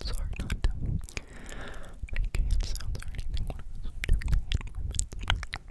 It's hard not to make hand sounds or anything when I was doing that.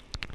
Stay awake.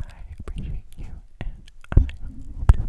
I appreciate you, and I hope to see you soon.